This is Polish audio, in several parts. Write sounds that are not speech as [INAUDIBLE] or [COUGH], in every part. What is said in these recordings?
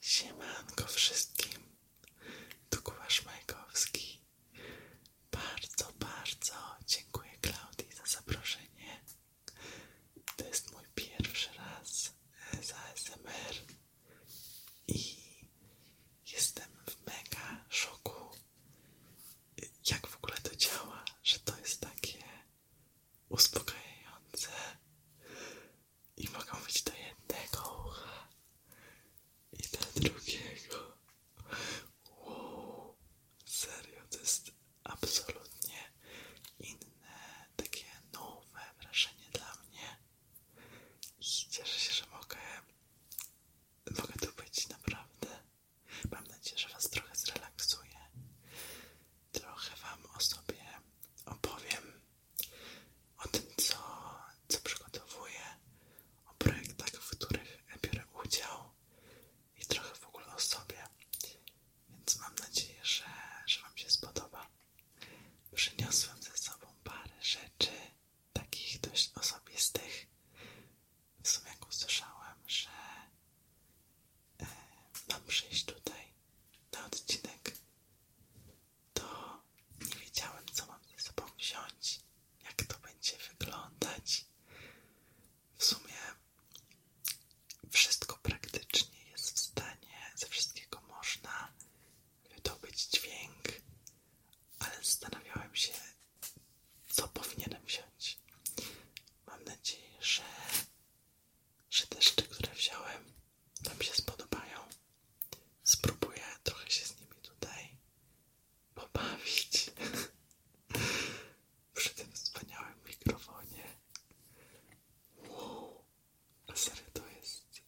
Siemanko wszystkim, tu Kubasz Majkowski. Bardzo, bardzo dziękuję Klaudii za zaproszenie. To jest mój pierwszy raz za S.M.R. i jestem w mega szoku, jak w ogóle to działa, że to jest takie uspokajające i mogą być do jednego ucha i do drugiego. Wow, serio, to jest absolutnie inne, takie nowe wrażenie dla mnie i cieszę się, że mogę, mogę tu być naprawdę. Mam nadzieję, że Was trochę zrelaksuję, trochę Wam o sobie opowiem o tym, co, przygotowuję, o projektach, w których biorę udział i trochę w ogóle o sobie. Więc mam nadzieję, że, że Wam się spodoba. Przyniosłem ze sobą parę rzeczy, takich dość osobistych. W sumie, jak usłyszałem, że e, mam przyjść tutaj na odcinek to nie wiedziałem, co mam ze sobą wziąć, jak to będzie wyglądać. W sumie wszystko praktycznie jest w stanie, ze wszystkiego można wydobyć dźwięk, ale zastanawiałem się, co powinienem wziąć. Mam nadzieję, że że deszcze, które wziąłem, nam się spodobają. Spróbuję trochę się z nimi tutaj pobawić [LAUGHS] przy tym wspaniałym mikrofonie. Wow, serio to jest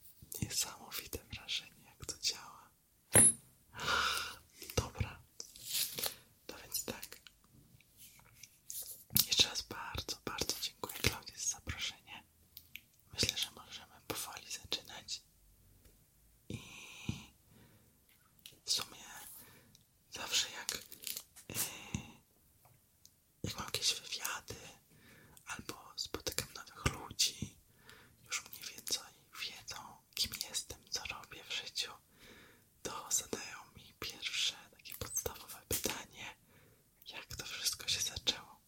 niesamowite wrażenie, jak to działa. [GASPS] Dobra, to no więc tak. Jeszcze raz bardzo, bardzo dziękuję Klaudii za zaproszenie myślę, że możemy powoli zaczynać. I w sumie zawsze jak, y, jak mam jakieś wywiady albo spotykam nowych ludzi, już mniej więcej wiedzą, kim jestem, co robię w życiu, to zadają mi pierwsze takie podstawowe pytanie, jak to wszystko się zaczęło.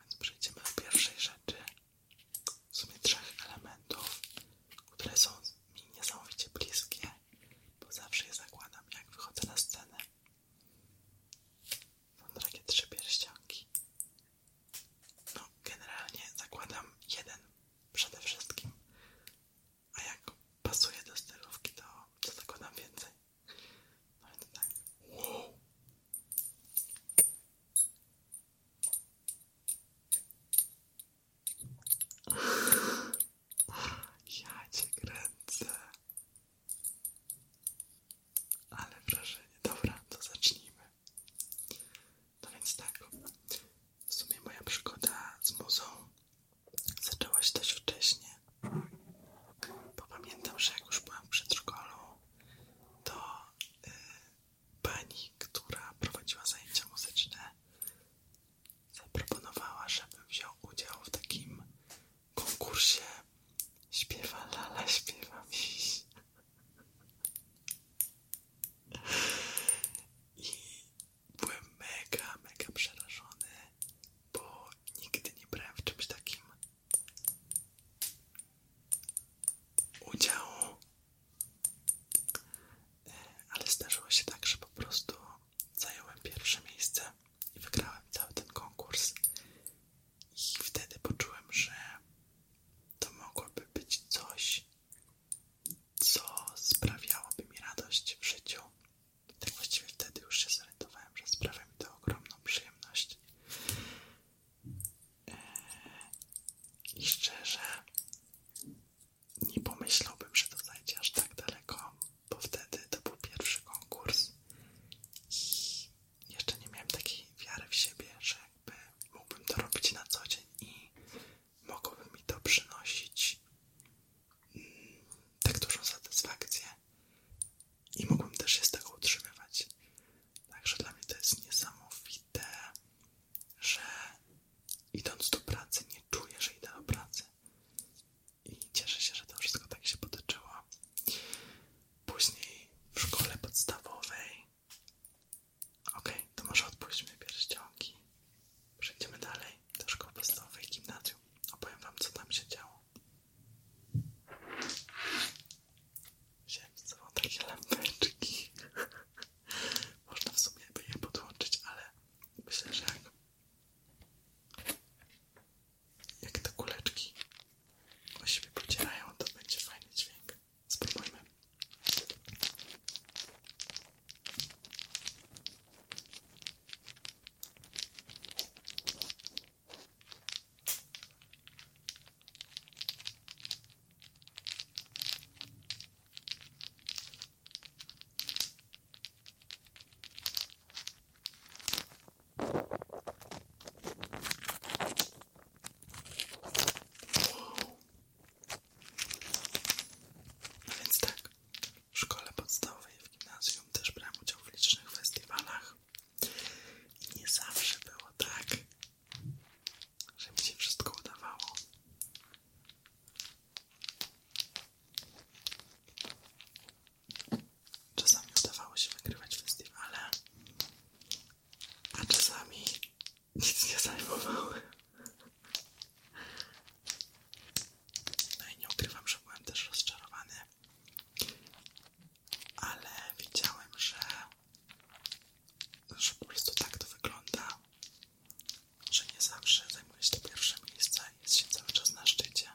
Więc przejdziemy do pierwszej rzeczy, w sumie trzech elementów, które są mi niesamowicie bliskie, bo zawsze je zakładam, jak wychodzę na scenę. Są takie trzy pierścionki. No, generalnie zakładam jeden przede wszystkim, a jak pasuje do stylówki, to, to zakładam więcej. No to tak. Wow. Ja cię kręcę. Ale wrażenie. Dobra, to zacznijmy. No więc tak. W sumie moja przygoda z muzą zaczęła się dość wcześnie. Bo pamiętam, że jak już byłam w przedszkolu, to y, pani, która prowadziła zajęcia muzyczne, zaproponowała, żebym wziął udział w takim konkursie śpiewa lala, śpiewa miś. I byłem mega, mega przerażony, bo nigdy nie brałem w czymś takim udziału, e, ale zdarzyło się tak, że po prostu zająłem pierwsze miejsce i wygrałem cały ten konkurs. I wtedy poczułem, że to mogłoby być coś, co sprawiałoby mi radość w życiu. Tak właściwie wtedy już się zorientowałem, że sprawia mi to ogromną przyjemność znaleźć. Eee, I szczerze, nie pomyślałbym, że to zajdzie aż tak daleko, bo wtedy to był pierwszy konkurs i jeszcze nie miałem takiej wiary w siebie, że jakby mógłbym to robić na co dzień i mogłoby mi to przynosić mm, tak dużą satysfakcję, i mógłbym też się z tego utrzymywać. Także dla mnie to jest niesamowite, że idąc do pracy nie czuję, że idę do pracy. I cieszę się, że to wszystko tak się potoczyło. Później w szkole podstawowej. Okej, to może odpuśćmy pierścionki. Przejdziemy dalej do szkoły podstawowej gimnazjum. Opowiem Wam, co tam się działo. Wziąłem ze sobą takie lampeczki. Można w sumie by je podłączyć, ale myślę, że jak, jak te kuleczki o siebie pocierają, to będzie fajny dźwięk. Spróbujmy. No więc tak, w szkole podstawowej w gimnazjum też brałem udział w licznych festiwalach i nie zawsze było tak, że mi się wszystko udawało. Czasami udawało się wygrywać festiwale, a czasami nic nie zajmowałem. No i nie ukrywam, że byłem też rozczarowany ale widziałem, że, że po prostu tak to wygląda, że nie zawsze zajmuje się to pierwsze miejsce i jest się cały czas na szczycie.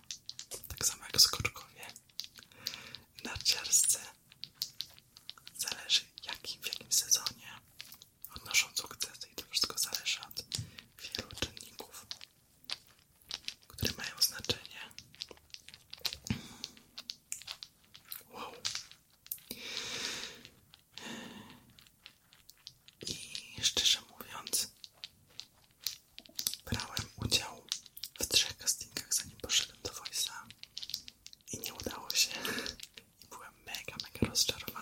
Tak samo jak skoczkowie narciarscy. Zależy jaki, w jakim sezonie odnoszą sukcesy i to wszystko zależy od wielu czynników które mają znaczenie. Wow. I szczerze mówiąc, brałem udział w trzech castingach, zanim poszedłem do Voice'a i nie udało się. I byłem mega, mega rozczarowany.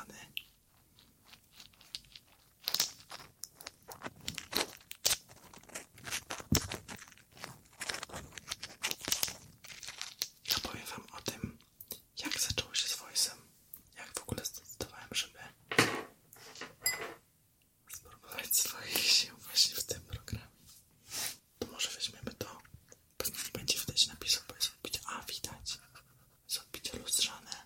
Ja powiem wam o tym, jak zaczęło się z voice'em. Jak w ogóle zdecydowałem, żeby spróbować swoich sił właśnie w tym programie. To może weźmiemy to. Pewnie nie będzie widać napisu, bo jest odbicie. A, widać. Jest odbicie lustrzane.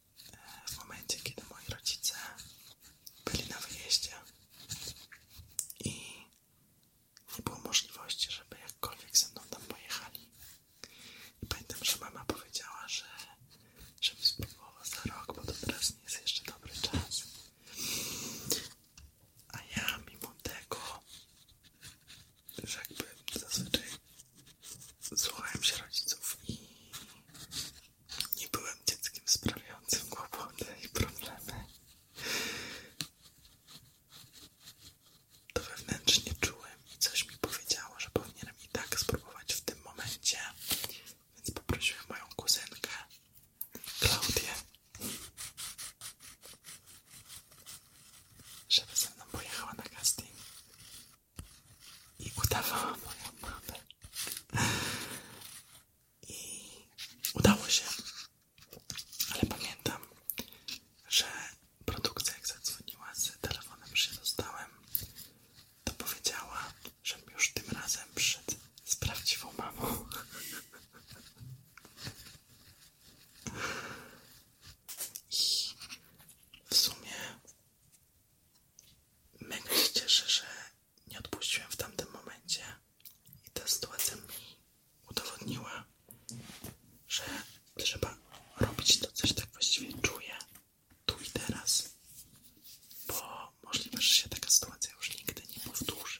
w momencie, kiedy moi rodzice byli na wyjeździe i nie było możliwości, żeby jakkolwiek ze mną tam pojechali. I pamiętam, że mama powiedziała, że żebym spróbowała za rok, bo to teraz nie jest jeszcze dobry czas. A ja mimo tego, że jakby zazwyczaj słuchałem się rodziców i nie byłem dzieckiem sprawiającym głupoty i problemy. To wewnętrznie czułem i coś mi powiedziało, że powinienem i tak spróbować w tym momencie, więc poprosiłem moją kuzynkę Klaudię, żeby ze mną pojechała na casting i udawała moją mamę. I udało się. Ale pamiętam, że produkcja jak zadzwoniła z telefonem, że dostałem, to powiedziała, że już tym razem przyszedł z prawdziwą mamą. I w sumie Mega się cieszę, że nie odpuściłem w tamtym momencie i ta sytuacja mi udowodniła, że trzeba robić to, coś tak właściwie czuję tu i teraz, bo możliwe, że się taka sytuacja już nigdy nie powtórzy.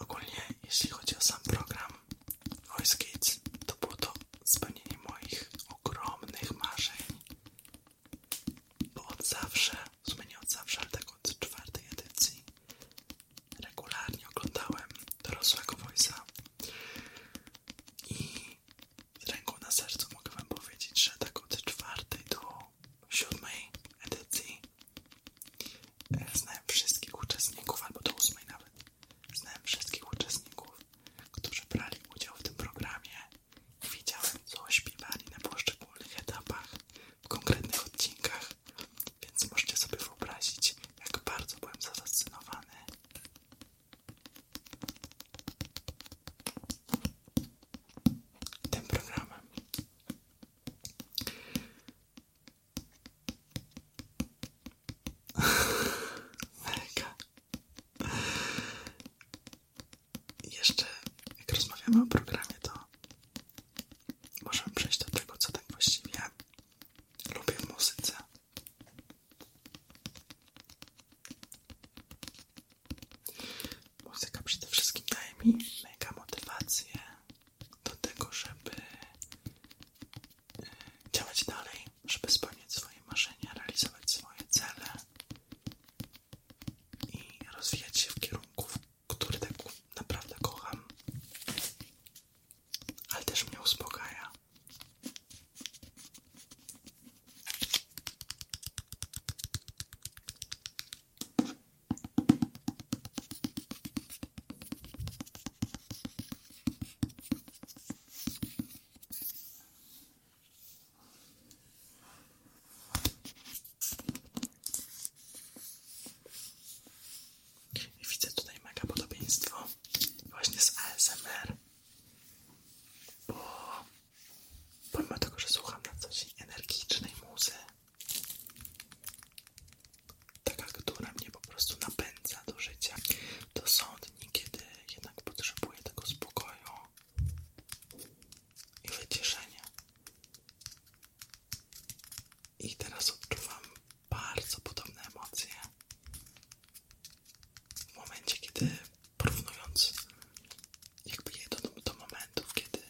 Ogólnie, jeśli chodzi o sam program Voice Kids, to było to spełnienie moich ogromnych marzeń. Bo od zawsze, w sumie nie od zawsze, ale tak od czwartej edycji, regularnie oglądałem dorosłego Voice'a i z ręką na sercu mogę wam powiedzieć, że tak od czwartej do siódmej edycji e, znałem wszystkich uczestników, albo do ósmej nawet, znałem wszystkich uczestników, którzy brali udział w tym programie i widziałem, co śpiewali na poszczególnych etapach, w konkretnych odcinkach, więc możecie sobie wyobrazić, jak bardzo byłem zafascynowany tym programem. [LAUGHS] Mega. Jeszcze, jak rozmawiamy o programie, to możemy przejść do tego, co tak właściwie lubię w muzyce. Muzyka przede wszystkim daje mi mega motywację do tego, żeby e, działać dalej, żeby spełniać swoje marzenia, realizować swoje cele i rozwijać się w kierunku, który tak naprawdę kocham, ale też mnie uspokaja widzę tutaj mega podobieństwo właśnie z ASMR, Pomimo tego, że słucham na coś energicznej muzy, taka, która mnie po prostu napędza do życia, to są dni, kiedy jednak potrzebuję tego spokoju i wyciszenia. I teraz odczuwam bardzo podobne emocje w momencie, kiedy porównując jakby je do, do momentów, kiedy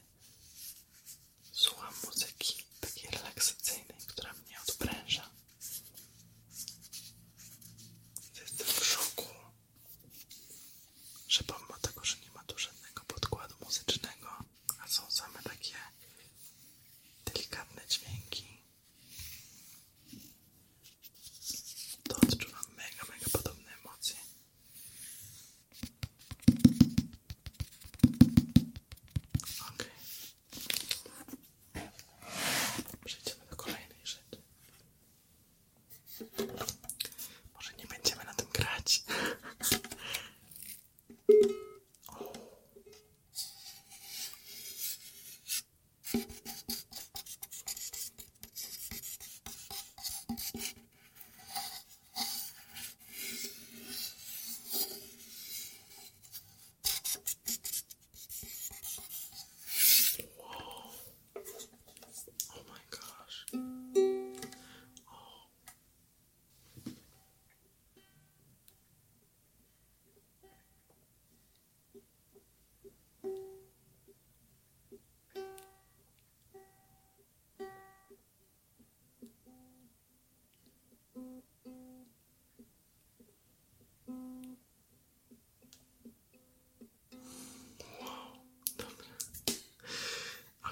słucham muzyki takiej relaksacyjnej, która mnie odpręża. Jestem w szoku, że pomimo tego, że nie ma tu żadnego podkładu muzycznego, a są same takie delikatne dźwięki, to odczuwam mega, mega podobne emocje. Ok. Przejdziemy do kolejnej rzeczy. Może nie będziemy na tym grać. O. Whoa. Oh my gosh. Oh.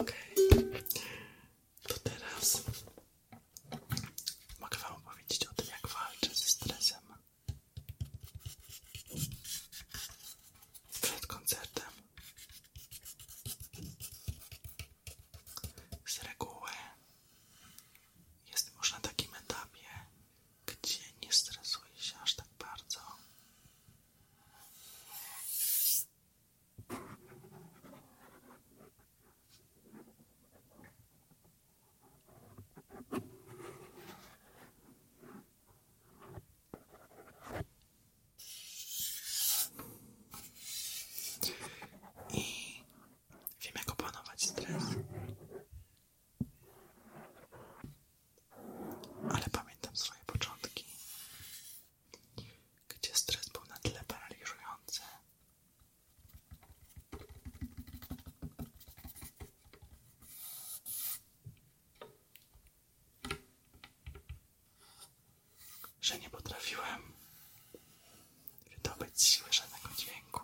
Okej, to teraz mogę Wam opowiedzieć o tym, jak walczę ze stresem. Przed koncertem z reguły jest już na takim etapie, gdzie nie stresuje się aż tak bardzo. I wiem, jak opanować stres. Ale pamiętam swoje początki, gdzie stres był na tyle paraliżujący, że nie potrafiłem wydobyć siły żadnego dźwięku.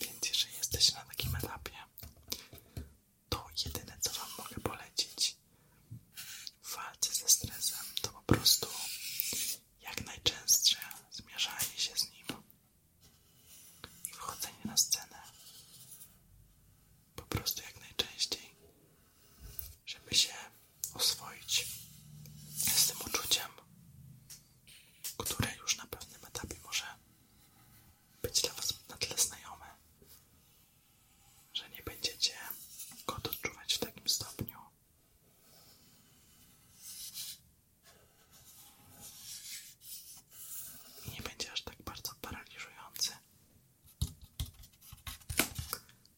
Więc jeżeli jesteś na takim etapie, to jedyne co Wam mogę polecić w walce ze stresem to po prostu jak najczęstsze zmierzanie się z nim i wchodzenie na scenę. Po prostu jak najczęściej, żeby się oswoić z tym uczuciem, które już na pewnym etapie może być dla Was na tyle znajome, że nie będziecie go odczuwać w takim stopniu, nie będzie aż tak bardzo paraliżujący.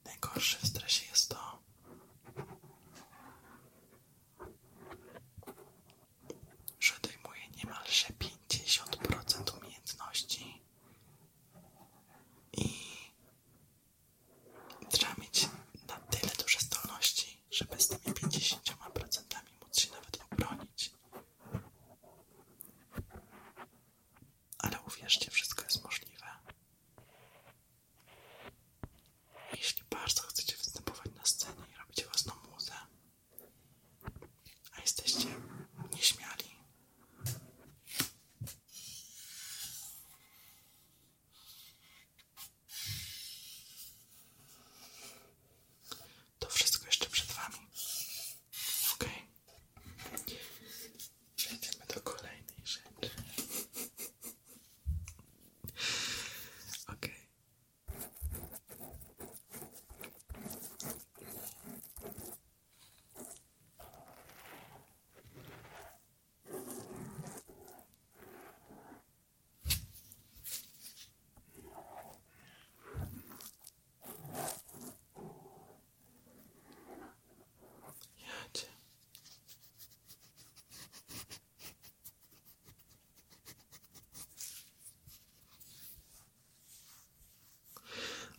Najgorsze w stresie jest to, że dojmuje niemalże 50% umiejętności i trzeba mieć na tyle duże zdolności, żeby z tymi 50% móc się nawet obronić. Ale uwierzcie, wszystko jest możliwe. Jeśli bardzo chcecie występować na scenie i robicie własną muzę, a jesteście nieśmiali, to wszystko jeszcze przed Wami. Ok. Przejdziemy do kolejnej rzeczy. Ok. Jadzie.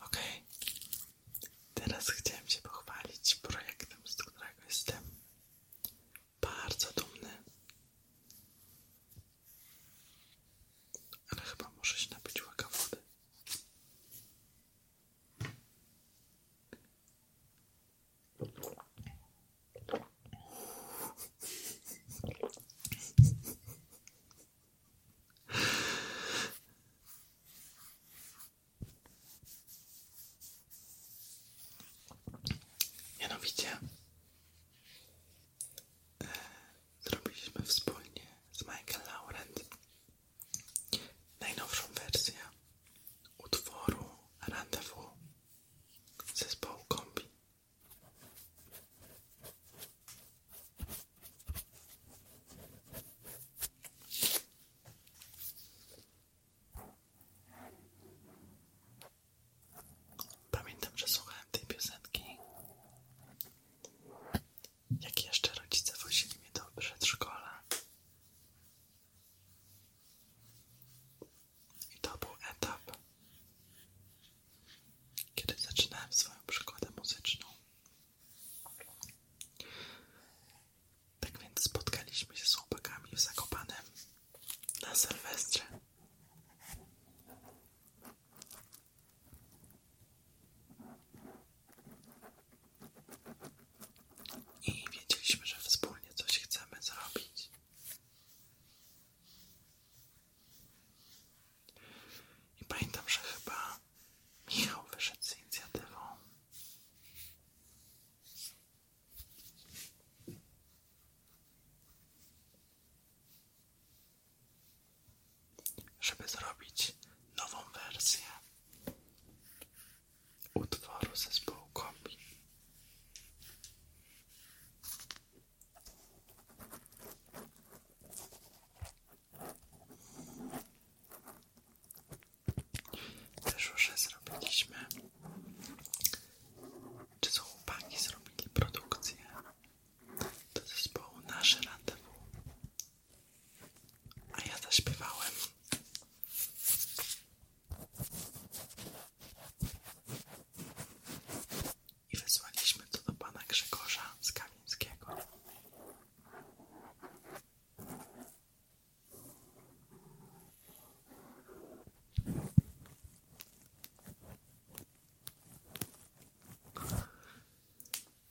Okej, okay. teraz chciałem się pochwalić projektem, z którego jestem bardzo dumny. Ale chyba muszę się napić łyka Mianowicie e, zrobiliśmy wspólnie z Michael Laurent najnowszą wersję utworu Rendezvous zespołu Kombi. Pamiętam, że słuchałem tej piosenki, jak jeszcze rodzice włożyli mi do przedszkola. I to był etap, kiedy zaczynałem swoją przygodę muzyczną. Tak więc spotkaliśmy się z łopakami w zakopanym na Sylwestrze. I wiedzieliśmy, że wspólnie coś chcemy zrobić. I pamiętam, że chyba Michał wyszedł z inicjatywą żeby zrobić nową wersję utworu zespołu kombi. Też już zrobiliśmy czy są chłopaki zrobili produkcję do zespołu Nasze Rendezvous? A ja zaśpiewałem. I wysłaliśmy to do pana Grzegorza z Kamińskiego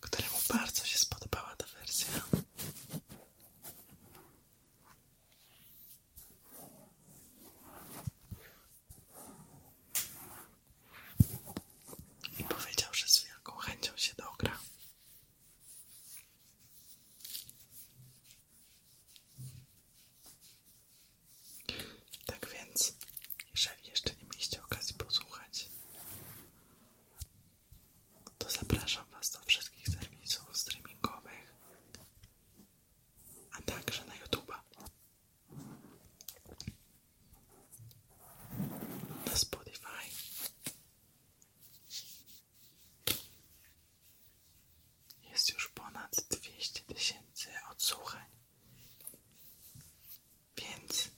któremu bardzo się spodobała ta wersja. I powiedział, że z wielką chęcią się dogra. Tak więc, jeżeli jeszcze nie mieliście okazji posłuchać, to zapraszam Was do wszystkich serwisów streamingowych, a także na YouTube'a. Na Spotify jest już ponad dwieście tysięcy odsłuchań. Więc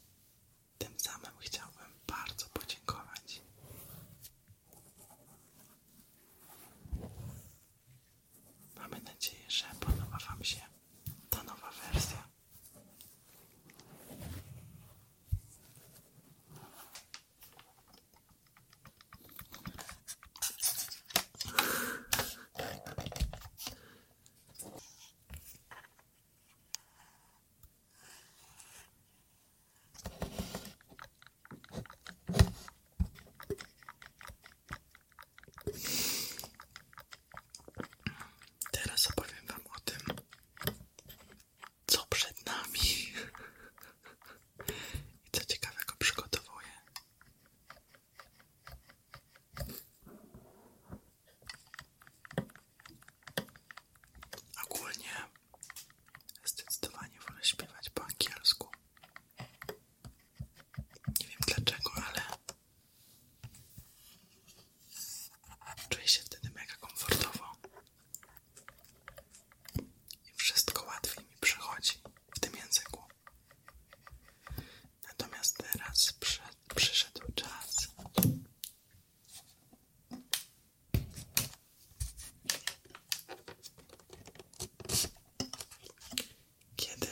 tym samym chciałbym bardzo podziękować. Mamy nadzieję, że podoba Wam się ta nowa wersja. Teraz opowiem Wam o tym, co przed nami i co ciekawego przygotowuję. Ogólnie zdecydowanie wolę śpiewać po angielsku. Nie wiem dlaczego, ale czuję się wtedy mega komfortowo i wszystko łatwiej mi przychodzi w tym języku. Natomiast teraz przyszedł, przyszedł czas kiedy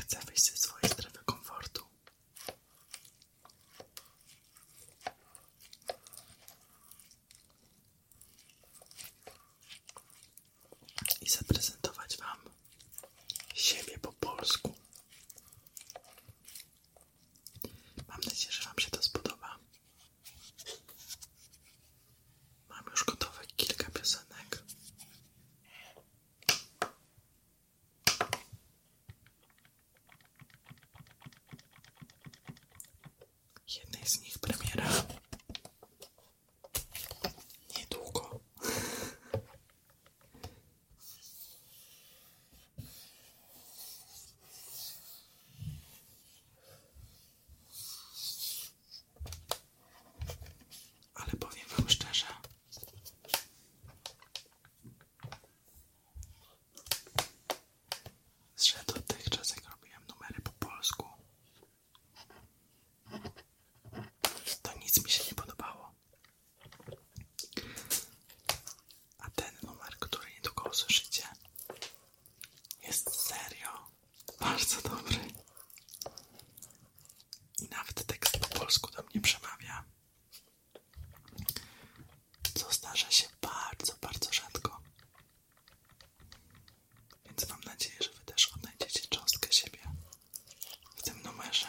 chcę wyjść ze swojej strefy komfortu i zaprezentować Wam siebie po polsku. Mam nadzieję, że Wam się to spodoba. Mam już gotowe kilka piosenek jednej z nich premiera niedługo. Ale powiem Wam szczerze, że dotychczas jak robiłem numery po polsku, to nic mi się nie podobało. A ten numer, który nie tylko usłyszycie, jest serio bardzo dobry. I nawet tekst po polsku do mnie przemawia. Co zdarza się bardzo, bardzo rzadko. Więc mam nadzieję, że Wy też odnajdziecie cząstkę siebie w tym numerze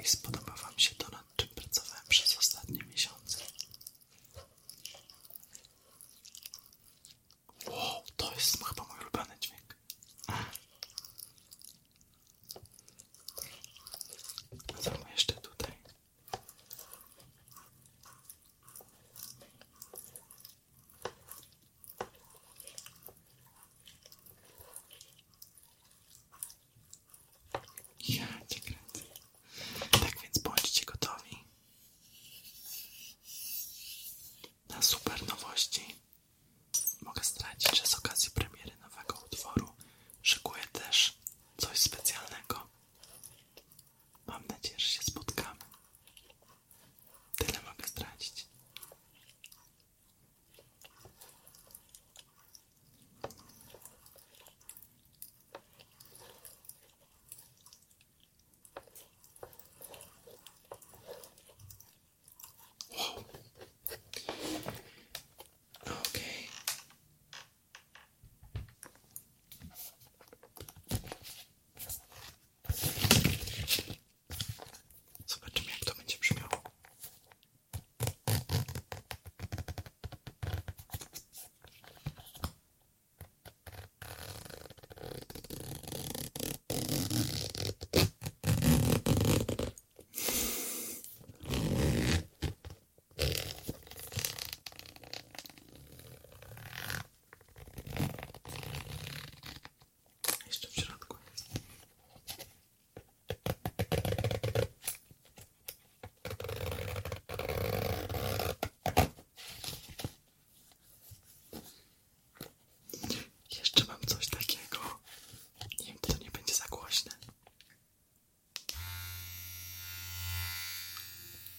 i spodoba Wam się to, nad czym pracowałem przez ostatnie miesiące. Wow, to jest chyba mój ulubiony dźwięk. Zróbmy jeszcze tutaj ja cię kręcę. Tak więc bądźcie gotowi na super nowości. Mogę stracić, że z okazji premiery nowego utworu szykuję też coś specjalnego. Mam nadzieję, że się spotkamy. Tyle mogę stracić. Okej. Zobaczymy, jak to będzie brzmiało. Jeszcze w środku jest. Jeszcze mam coś takiego. Nie wiem, czy to nie będzie za głośne.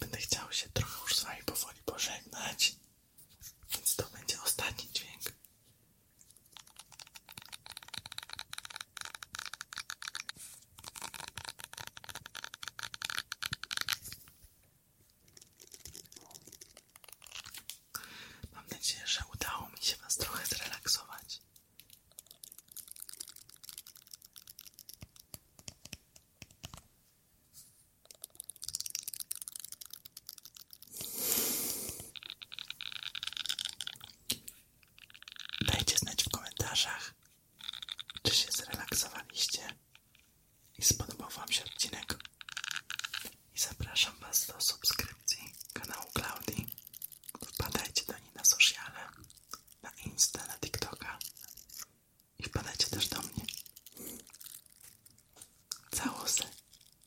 Będę chciał się trochę już z Wami powoli pożegnać, więc to będzie ostatni dźwięk Mam nadzieję, że udało mi się Was trochę zrelaksować. Dajcie znać w komentarzach, czy się zrelaksowaliście i spodobał Wam się odcinek. I zapraszam Was do subskrypcji kanału Klaudii. Wpadajcie do niej na sociale, na Insta, na TikToka i wpadajcie też do mnie. Całosy